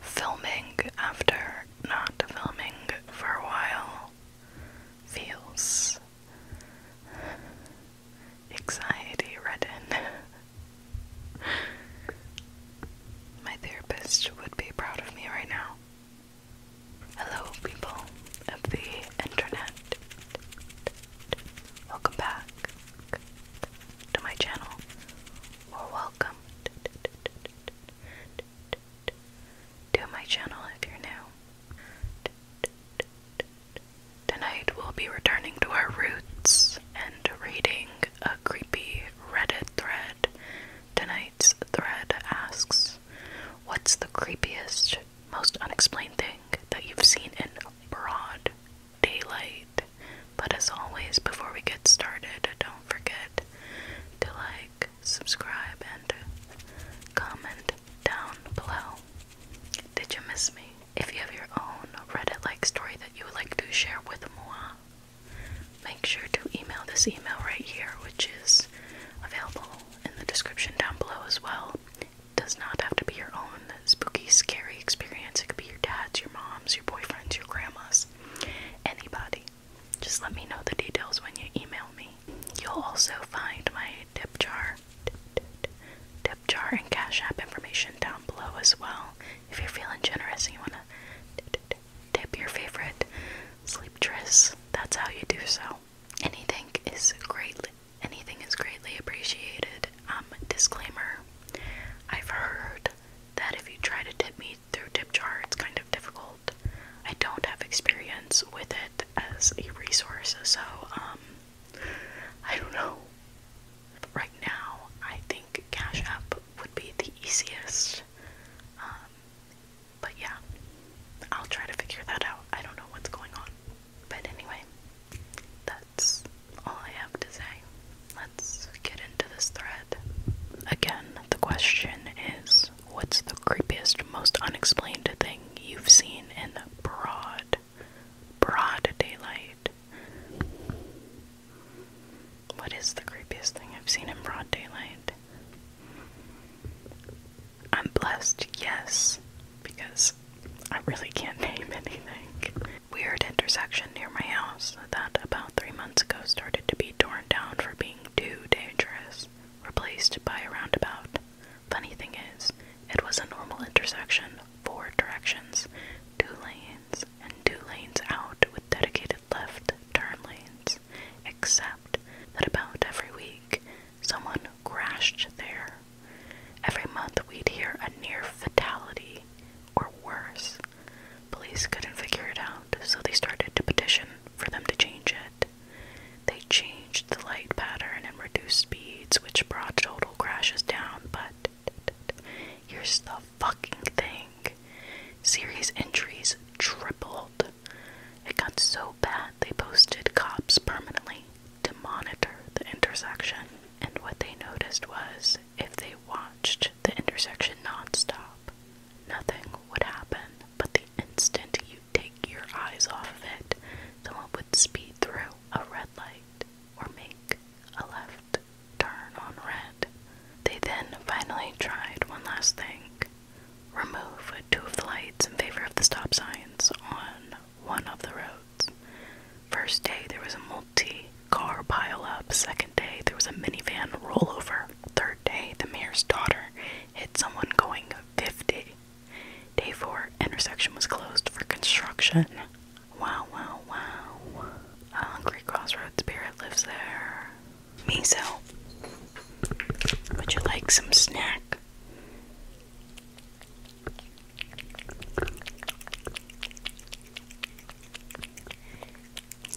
filming after not filming for a while feels anxiety ridden. My therapist would be proud of me right now. Hello, people of the internet. Welcome back to my channel, or welcome to my channel if you're new. Tonight we'll be returning to our roots and reading a creepy Reddit thread. Tonight's thread asks, What's the creepiest, most unexplained thing that you've seen in broad daylight? But as always, before we get started, don't forget to like, subscribe, and comment down below. Did you miss me? If you have your own Reddit like story that you would like to share with moi, make sure to email this email right here, which is available in the description down below as well. It does not have to be your own spooky, scary experience, it could be your dad's, your mom's, your boyfriend's, your grandma's anybody. Just let me know the details when you email me. You'll also find my tip jar, tip, tip, jar and cash app information down below as well. If you're feeling generous and you want to tip your favorite sleep tris, that's how you do so. Anything is greatly, anything is greatly appreciated. Um, disclaimer: I've heard that if you try to tip me through tip jar it's kind of difficult. I don't have experience with it as a resource, so um, I don't know. But right now, I think Cash App would be the easiest. Um, but yeah, I'll try to figure that out. I don't know what's going on. But anyway, that's all I have to say let's get into this thread. Again, the question is what's the creepiest, most unexplained thing you've seen in broad, broad daylight? What is the creepiest thing I've seen in broad daylight? I'm blessed, yes, because I really can't name anything weird intersection near my house that about three months ago started to be torn down for being too dangerous, replaced by a roundabout. Funny thing is, it was a normal intersection, four directions, two lanes, and two lanes out with dedicated left turn lanes, except that about every week someone crashed there. Every month we'd hear a near fatality, or worse, Police couldn't figure it out, so they started to petition for them to change it. They changed the light pattern and reduced speeds, which brought total crashes down, but here's the fucking thing serious injuries tripled. It got so bad they posted cops permanently to monitor the intersection, and what they noticed was if they watched the intersection nonstop. Nothing would happen, but the instant you take your eyes off of it, someone would speed through a red light or make a left turn on red. They then finally tried one last thing remove two of the lights in favor of the stop signs on one of the roads. First day, there was a T car pileup. Second day, there was a minivan rollover. Third day, the mayor's daughter hit someone going 50. Day 4, intersection was closed for construction. Wow, wow, wow. A hungry crossroads spirit lives there. Miso, would you like some snack?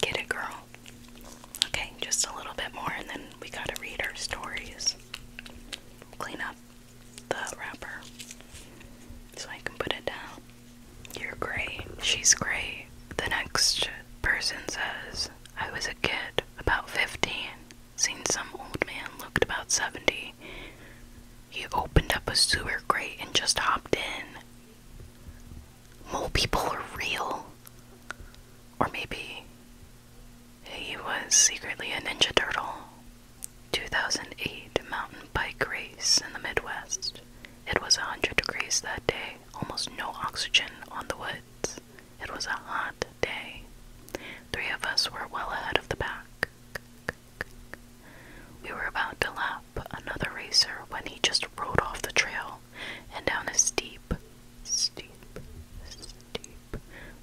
Get it, girl? Okay, just a little bit more, and then we gotta read our stories. Clean up the wrapper so I can put it down. You're great. She's great. The next person says, I was a kid, about 15. Seen some old man, looked about 70. He opened up a sewer grate and just hopped in mole people are real. Or maybe he was secretly a Ninja Turtle. 2008 mountain bike race in the Midwest. It was 100 degrees that day, almost no oxygen on the woods. It was a hot day. Three of us were well ahead of the pack. We were about to lap up another racer when he just rode off the trail and down a steep, steep, steep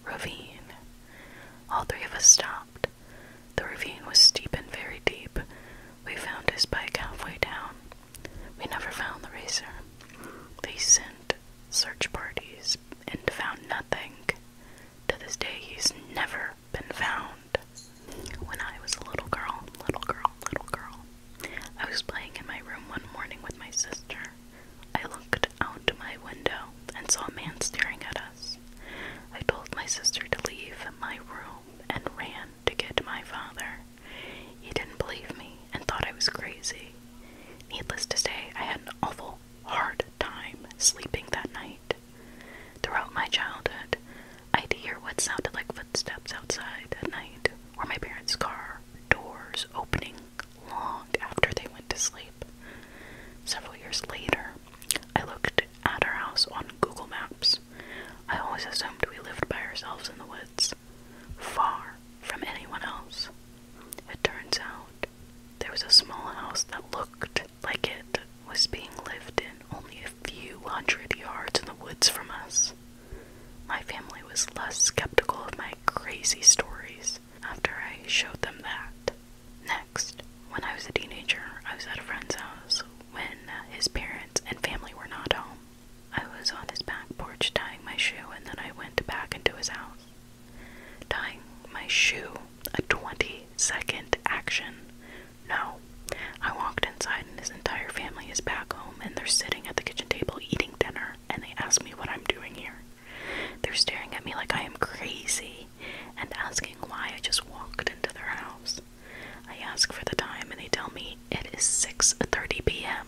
ravine. All three of us stopped. The ravine was steep and very deep. We found his bike halfway down. We never found the racer. They sent search parties and found nothing. To this day, he's never been found. When I was a little girl, little girl, little girl, I was playing in my room one morning with my sister. I looked out my window and saw a man staring at us. I told my sister to leave my room and ran to get my father. He didn't believe me and thought I was crazy. Needless to say, I had an awful hard time sleeping that night. Throughout my childhood, I'd hear what sounded like footsteps outside at night, or my parents' car doors opening long after they went to sleep. Several years later, I looked at our house on Google Maps. I always assumed we lived by ourselves in the woods, far from anyone else. It turns out there was a small house that looked like it was being lived in only a few hundred yards in the woods from us. My family was less skeptical of my crazy stories after I showed them that. Next, when I was a teenager, I was at a friend's house when his parents and family were not home. I was on his back porch tying my shoe, and then I went back into his house. Tying my shoe, a 20 second action, no. I walked inside, and his entire family is back home, and they're sitting at the kitchen table eating dinner, and they ask me what I'm doing here. They're staring at me like I am crazy and asking why I just walked into their house. I ask for the time, and they tell me it is 6:30 p.m.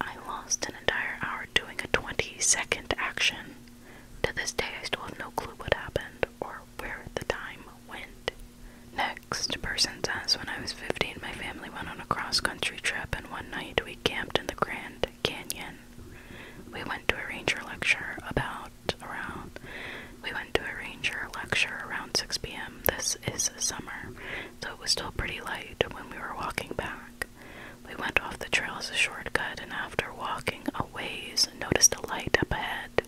I lost an entire hour doing a 20-second action. To this day, I still have no clue what happened or where the time went. Next person says, when I was 15, my family went on a cross country trip, and one night we camped in the Grand Canyon. We went to a ranger lecture about around. We went to a ranger lecture around 6 p.m. This is summer, so it was still pretty light when we were walking back. We went off the trail as a shortcut, and after walking a ways, noticed a light up ahead.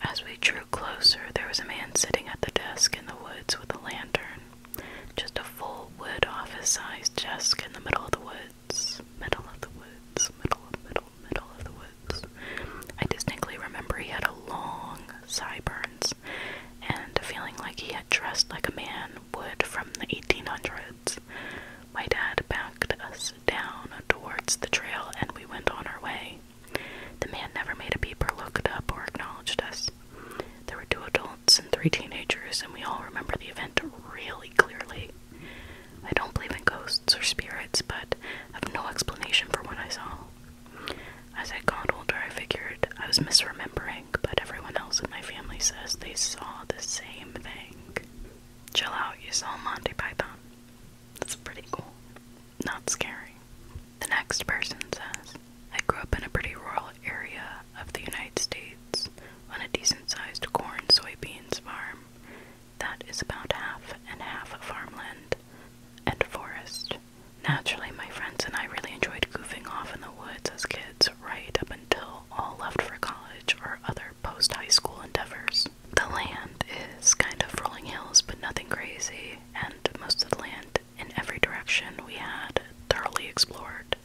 As we drew closer, there was a man sitting at the desk in the woods with a lantern. Just a full wood office sized desk in the middle of the woods. Middle of the woods. Middle of middle middle of the woods. I distinctly remember he had a long sideburns and feeling like he had dressed like a man would from the eighteen hundreds. My dad backed us down towards the trail and we went on our way. The man never made a peep or looked up or acknowledged us. There were two adults and three teenagers, and we all remember the event really clearly. I don't believe in ghosts or spirits, but have no explanation for what I saw. As I got older, I figured I was misremembering, but everyone else in my family says they saw the same thing. Chill out, you saw Monty Python. That's pretty cool. Not scary. The next person says, I grew up in a pretty rural area of the United States on a decent sized corn soybeans farm that is about half and half farmland and forest. Naturally, my friends and I really enjoyed goofing off in the woods as kids right up until all left for college or other post high school endeavors the land is kind of rolling hills, but nothing crazy, and most of the land in every direction we had thoroughly explored.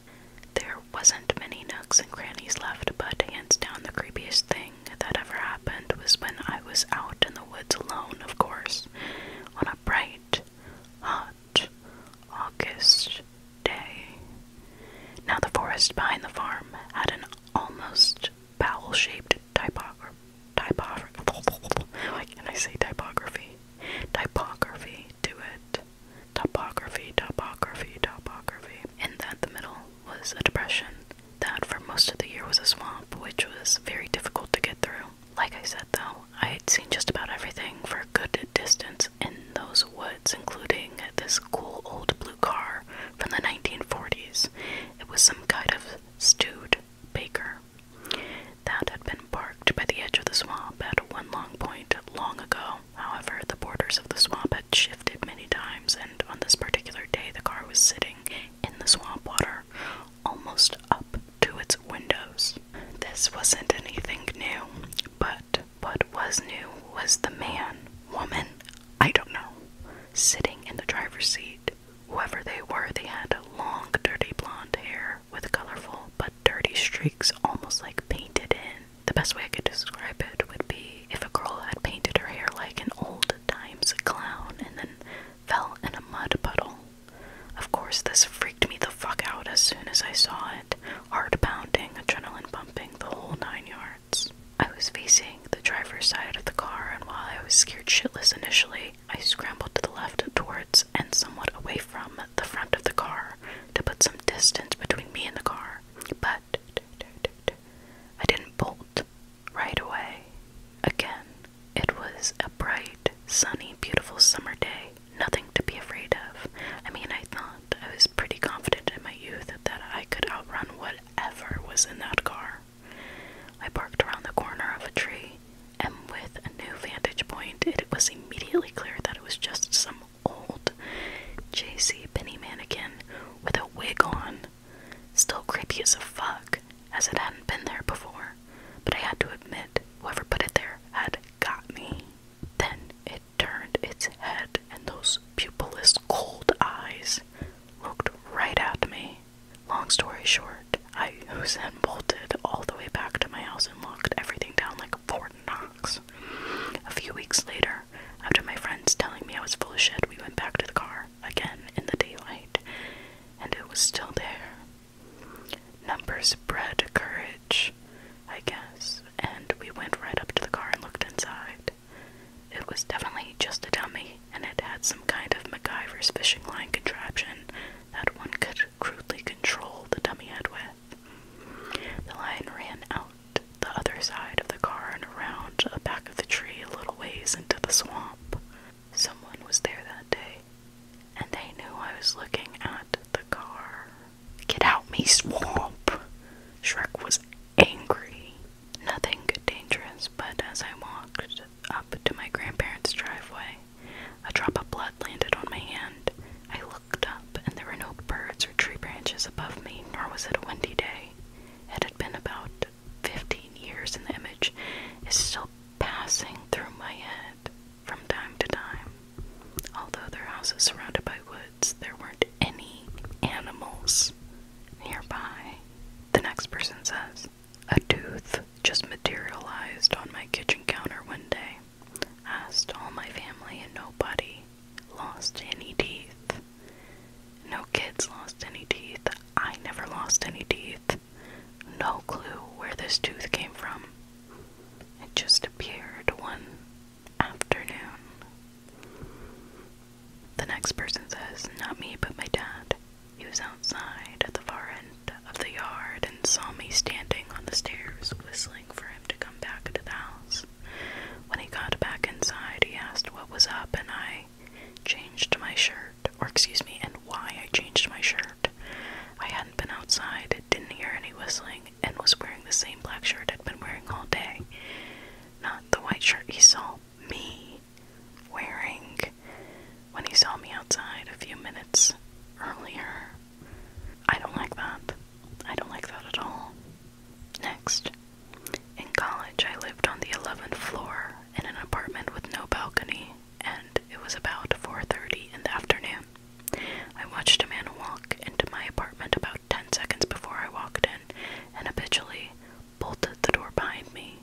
There wasn't many nooks and crannies left, but hands down the creepiest thing that ever happened was when I was out in the woods alone, of course, on a bright, hot August day. Now, the forest behind the farm had an almost bowel shaped typography typography. Why can I say typography? Typography to it. Topography, topography, topography. And that the middle was a depression that for most of the year was a swamp, which was very difficult to get through. Like I said though, I had seen just about everything for a good distance in those woods, including this cool old blue car from the 1940s. It was some kind of stewed baker that had been parked by the edge of the swamp at one long point long ago. However, the borders of the swamp had shifted many times, and on this particular day, the car was sitting in the swamp water, almost up to its windows. This wasn't anything new, but what was new was the man, woman, I don't know, sitting in the driver's seat Whoever they were, they had long, dirty blonde hair with colorful but dirty streaks almost like painted in. The best way I could describe it would be if a girl had painted her hair like an old times clown and then fell in a mud puddle. Of course, this freaked me the fuck out as soon as I saw it. Heart pounding, adrenaline pumping, the whole nine yards. I was facing the driver's side of the car, and while I was scared shitless initially, I scrambled to the left towards and somewhat away from the front of the car to put some distance between me and the car. But I didn't bolt right away. Again, it was a bright, sunny, beautiful summer day. Nothing to be afraid of. I mean, I thought I was pretty confident in my youth that I could outrun whatever was in that car. I parked around the corner of a tree, and with a new vantage point, it was immediately clear that it was just some old J.C. Penny mannequin with a wig on. Still creepy as a fuck, as it hadn't been there before, but I had to admit, whoever put it there had got me. Then it turned its head, and those pupilless, cold eyes looked right at me. Long story short, I was then bolted all the way back to my house and locked everything down like Fort Knox. A few weeks later, after my friends telling me I was full of shit, we went back to the car again in the daylight, and it was still there. Numbers bred courage, I guess, and we went right up to the car and looked inside it. was definitely just a dummy, and it had some kind of MacGyver's fishing line contraption that one could crudely control the dummy head with. The line ran out the other side of the car and around the back of the tree a little ways into the swamp. Someone was there that day, and they knew I was looking at the car. Get out me swamp! Shrek was angry. Nothing dangerous, but as I walked up to my grandparents' driveway, a drop of blood landed on my hand. I looked up, and there were no birds or tree branches above me, nor was it a windy day. It had been about 15 years, and the image is still passing through my head from time to time. Although their house is surrounded by woods, there weren't any animals nearby. The next person says, A tooth just materialized on my kitchen counter one day. Asked all my family and nobody lost any teeth. No kids lost any teeth. I never lost any teeth. No clue where this tooth came from. It just appeared one afternoon. The next person says, Not me, but my dad. He was outside at the far end of the yard and saw me standing on the stairs, whistling for him to come back to the house. When he got back inside, he asked what was up, and I changed my shirt, or excuse me, and why I changed my shirt. I hadn't been outside, didn't hear any whistling, and was wearing the same black shirt I'd been wearing all day. Not the white shirt he saw me wearing when he saw me outside a few minutes earlier. I don't like that. I don't like that at all. Next, in college, I lived on the 11th floor in an apartment with no balcony, and it was about 4:30 in the afternoon. I watched a man walk into my apartment about 10 seconds before I walked in, and habitually bolted the door behind me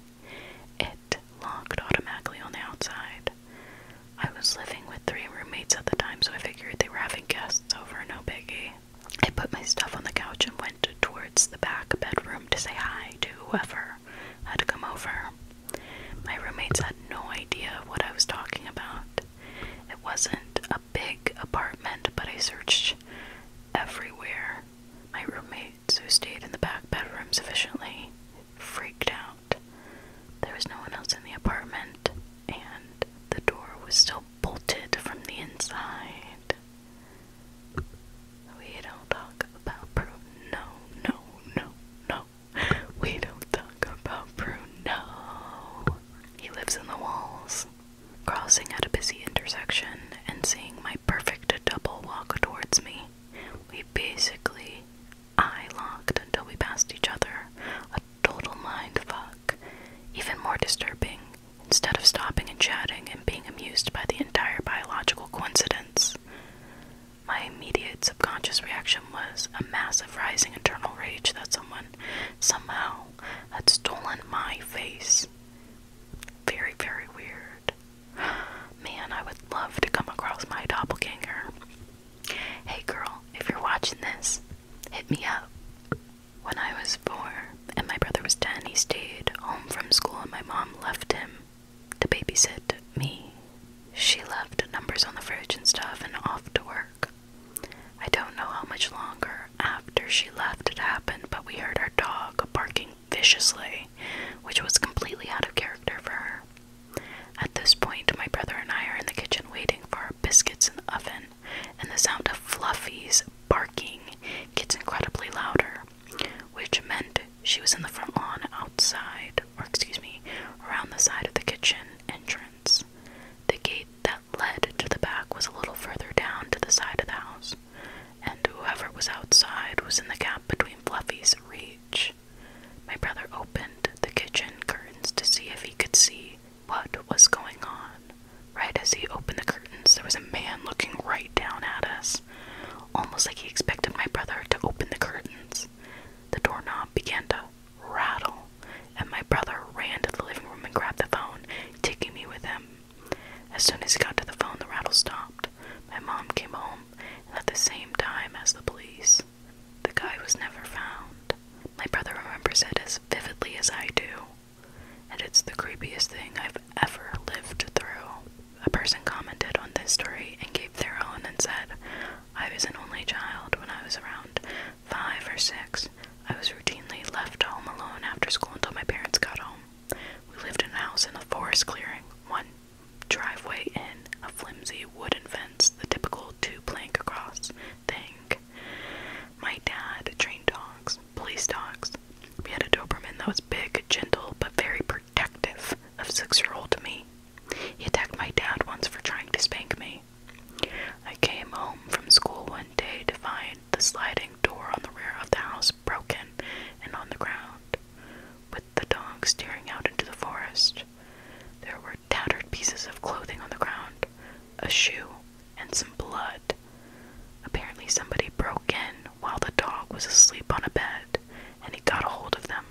it locked automatically on the outside. I was living with three roommates at the time, so I figured they were having guests over, no biggie. I put my stuff on the couch and went towards the back bedroom to say hi to whoever had come over. My roommates had no idea what I was talking about. It wasn't a big apartment, but I searched everywhere. My roommate who stayed in the back bedroom sufficiently freaked out. There was no one else in the apartment, and the door was still bolted from the inside. We don't talk about Bruno. No, no, no. We don't talk about Bruno. He lives in the walls crossing at a busy intersection and seeing my perfect double walk towards me. We basically eye locked until we passed each other. A total mind fuck. Even more disturbing, instead of stopping and chatting and being amused by the entire biological coincidence, my immediate subconscious reaction was a massive rising internal rage that someone, somehow, had stolen my face. Very, very weird. Man, I would love to come across my doppelganger. Hey girl, if you're watching this, hit me up. When I was four and my brother was ten, he stayed home from school and my mom left him to babysit me. She left numbers on the fridge and stuff and off to work. I don't know how much longer after she left it happened, but we heard our dog barking viciously, which was completely out of character for her. At this point, my brother and I are in the kitchen waiting for our biscuits in the oven, and the sound of Fluffy's barking gets incredibly louder, which meant she was in the front lawn outside, or excuse me, around the side of the kitchen entrance. The gate that led to the back was a little further down to the side of the house and whoever was outside was in the gap between Fluffy's reach. My brother opened the kitchen curtains to see if he could see what was going on. Right as he opened the curtains, there was a man looking right down at us, almost like he expected my brother to open the curtains. The doorknob began to rattle, and my brother ran to the living room and grabbed the phone, taking me with him. As soon as he got to the phone, the rattle stopped. My mom came home and at the same time as the police. The guy was never found. My brother remembers it as vividly as I do, and it's the creepiest thing I've ever lived through. A person commented on this story and gave their own and said, I was an only child when I was around five or six. I was routinely left home alone after school until my parents got home. We lived in a house in a forest clearing, one driveway in, a flimsy wooden fence, the typical two plank across thing. My dad trained dogs, police dogs. We had a Doberman that was big, gentle, but very protective of six year old me. He attacked my dad once for trying to spank me. I came home from school one day to find the sliding door on the rear of the house broken and on the ground, with the dog staring out into the forest. There were tattered pieces of clothing on the ground, a shoe, and some blood. Apparently, somebody broke in while the dog was asleep on a bed, and he got a hold of them.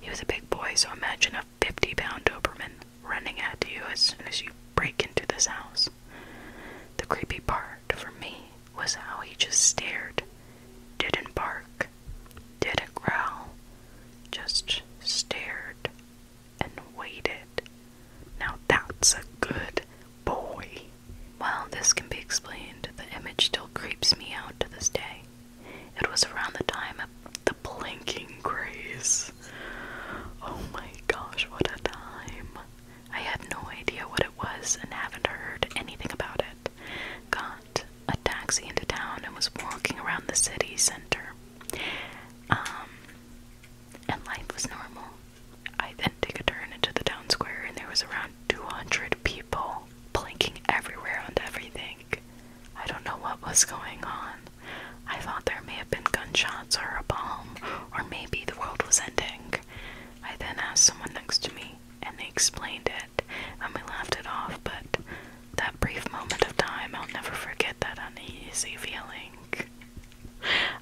He was a big boy, so imagine a 50 pound Doberman running at you as soon as you break into this house. The creepy part for me was how he just stared, didn't bark, didn't growl, just stared and waited. Now that's a good boy. While this can be explained, the image still creeps me out to this day. It was around the time of the blinking grace. Oh my gosh, what a time! I had no idea what it was and haven't heard anything about it. Got a taxi into town and was walking around the city center. Um, and life was normal. I then took a turn into the town square and there was around 200 people blinking everywhere and everything. I don't know what was going on. I thought there may have been gunshots or a bomb, or maybe the world was ending. I then asked someone next to me, and they explained it, and we laughed it off, but that brief moment of time, I'll never forget that uneasy feeling.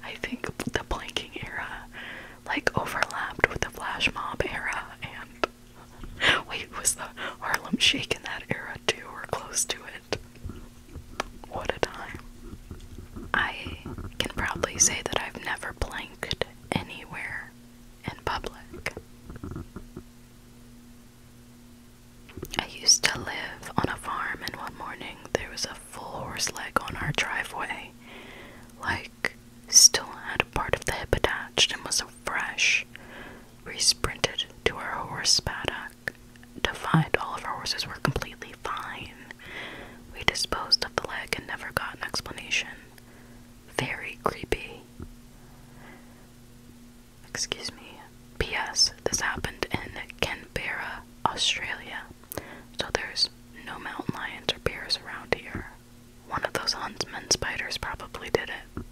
I think the blanking era, like, overlapped with the flash mob era, and wait, was the Harlem Shake in that era too, or close to it? What a time. I can proudly say that I've never blanked anywhere in public. I used to live on a farm, and one morning there was a full horse leg on our driveway, like still had a part of the hip attached and was so fresh. We sprinted to our horse paddock to find all of our horses were completely fine. We disposed of the leg and never got an explanation. Very creepy. Excuse me. P.S. This happened in Canberra, Australia. So there's no mountain lions or bears around here. One of those huntsman spiders probably did it.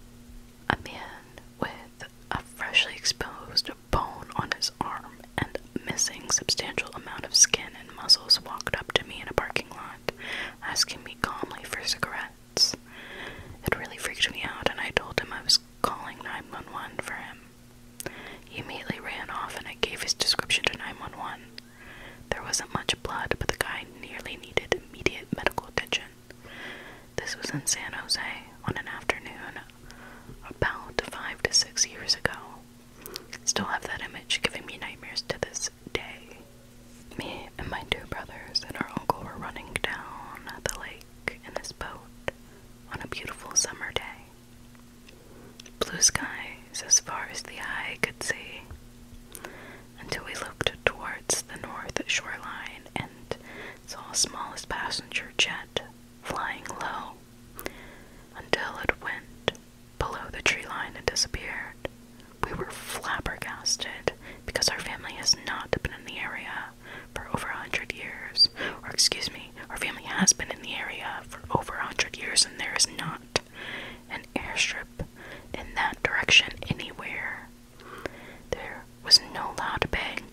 A man with a freshly exposed bone on his arm and missing substantial amount of skin and muscles walked up to me in a parking lot, asking me calmly for cigarettes. It really freaked me out, and I told him I was calling 911 for him. He immediately ran off, and I gave his description to 911. There wasn't much blood, but the guy nearly needed immediate medical attention. This was in San Jose on an afternoon about five to six years ago. Still have that image giving me nightmares to this day. Me and my two brothers and our uncle were running down the lake in this boat on a beautiful summer day. Blue skies as far as the eye could see until we looked towards the north shoreline and saw a smallest passenger jet flying low until it went below the tree line and disappeared. We were flabbergasted because our family has not been in the area for over a hundred years. Or, excuse me, our family has been in the area for over a hundred years and there is not an airstrip in that direction anywhere. There was no loud bang,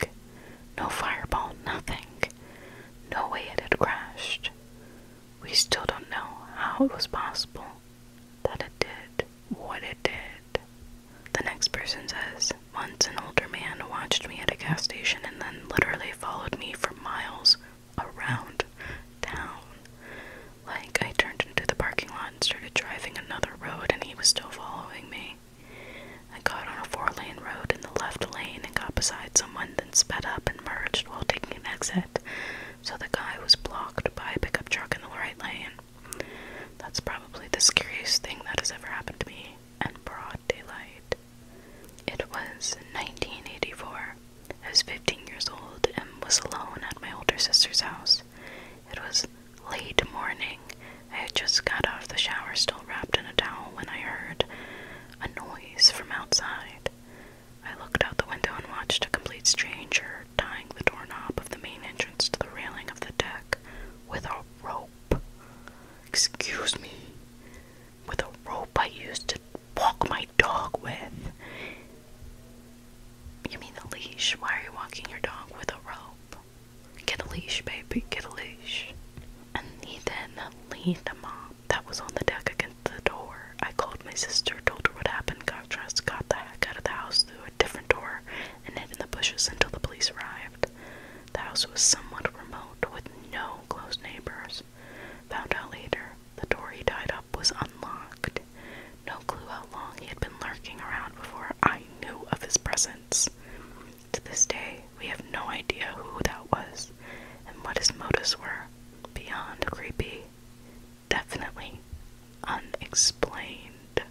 no fireball, nothing. No way it had crashed. We still don't know how it was possible that it did what it did. The next person says, Once an older man watched me at a gas station and then literally followed me for miles around town. Like, I turned into the parking lot and started driving another road, and he was still following me. I got on a four lane road in the left lane and got beside someone sped up and merged while taking an exit, so the guy was blocked by a pickup truck in the right lane. That's probably the scariest thing that has ever happened to me, and broad daylight. It was 1984. I was 15 years old and was alone at my older sister's house. It was late morning. I had just got off the shower, still wrapped in a towel, when I heard a noise from outside. I looked out the window and watched a complete stranger tying the doorknob of the main entrance to the railing of the deck with a rope. Excuse me. With a rope I used to walk my dog with. You mean a leash? Why are you walking your dog with a rope? Get a leash, baby, get a leash. And he then leaned him on that was on the deck against the door. I called my sister, told her what happened, got dressed, got the heck out of the house through a different door, and hid in the bushes until the police arrived. The house was somewhat remote, with no close neighbors. Found out later, the door he tied up was unlocked. No clue how long he had been lurking around before I knew of his presence. To this day, we have no idea who that was and what his motives were. Beyond creepy, definitely unexplained.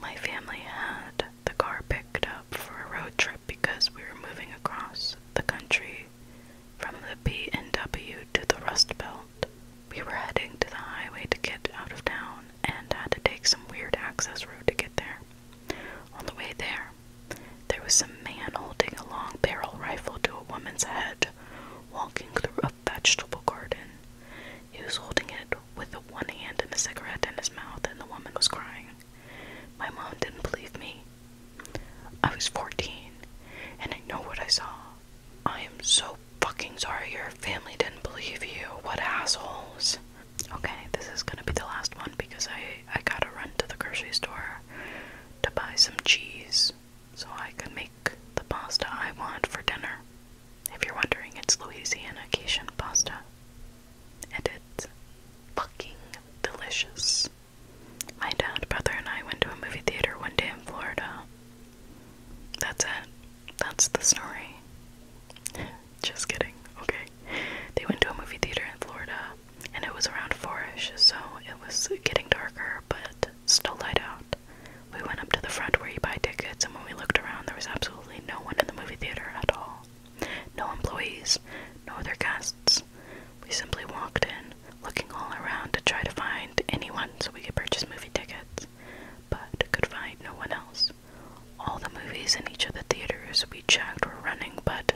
My family had the car picked up for a road trip because we were moving across the country from the B&W to the Rust Belt. We were heading to the highway to get out of town and had to take some weird access road to get there. On the way there, there was a man holding a long barrel rifle to a woman's head, walking through a vegetable garden. He was holding it with one hand and a cigarette in his mouth, and the woman was crying. My mom didn't believe me. I was 14, and I know what I saw. I am so fucking sorry your family didn't believe you. What assholes. Okay, this is gonna be the last one because I I gotta run to the grocery store to buy some cheese so I can make the pasta I want for dinner. If you're wondering, it's Louisiana Cajun pasta. And it's fucking delicious. My dad, brother, and I went to a movie theater one day in Florida. That's it. That's the story. Just kidding, okay? They went to a movie theater in Florida and it was around fourish, so it was getting darker, but still light out. We went up to the front where you buy tickets, and when we looked around, there was absolutely no one in the movie theater at all. No employees, no other guests. We simply walked in, looking all around to try to find anyone so we could purchase movie tickets, but could find no one else. All the movies in each of the theaters we checked were running, but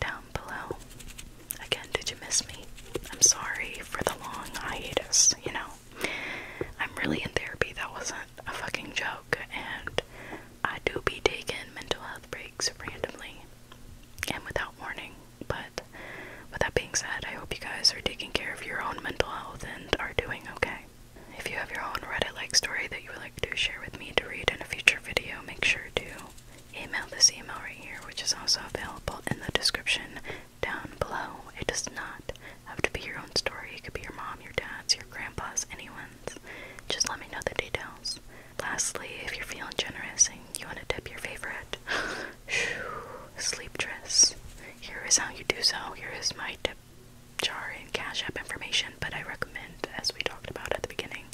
down below. Again, did you miss me? I'm sorry for the long hiatus, you know. I'm really in therapy, that wasn't a fucking joke, and I do be taking mental health breaks randomly and without warning. But with that being said, I hope you guys are taking care of your own mental health and are doing okay. If you have your own Reddit like story that you would like to share with me to read in a future video, make sure to email this email right here, which is also available in the description down below. It does not have to be your own story, it could be your mom, your dad's, your grandpa's, anyone's. Just let me know the details. Lastly, if you're feeling generous and you want to dip your favorite sleep dress, here is how you do so. Here is my dip jar and cash app information, but I recommend as we talked about at the beginning,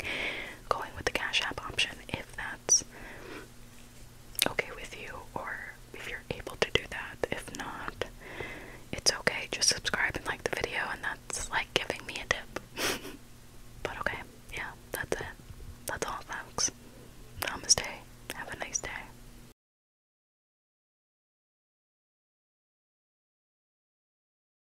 going with the Cash App option if that's okay with you or if you're able to do that. If not, it's okay. Just subscribe and like the video, and that's like giving me a tip. but okay, yeah, that's it. That's all, Thanks. Namaste. Have a nice day.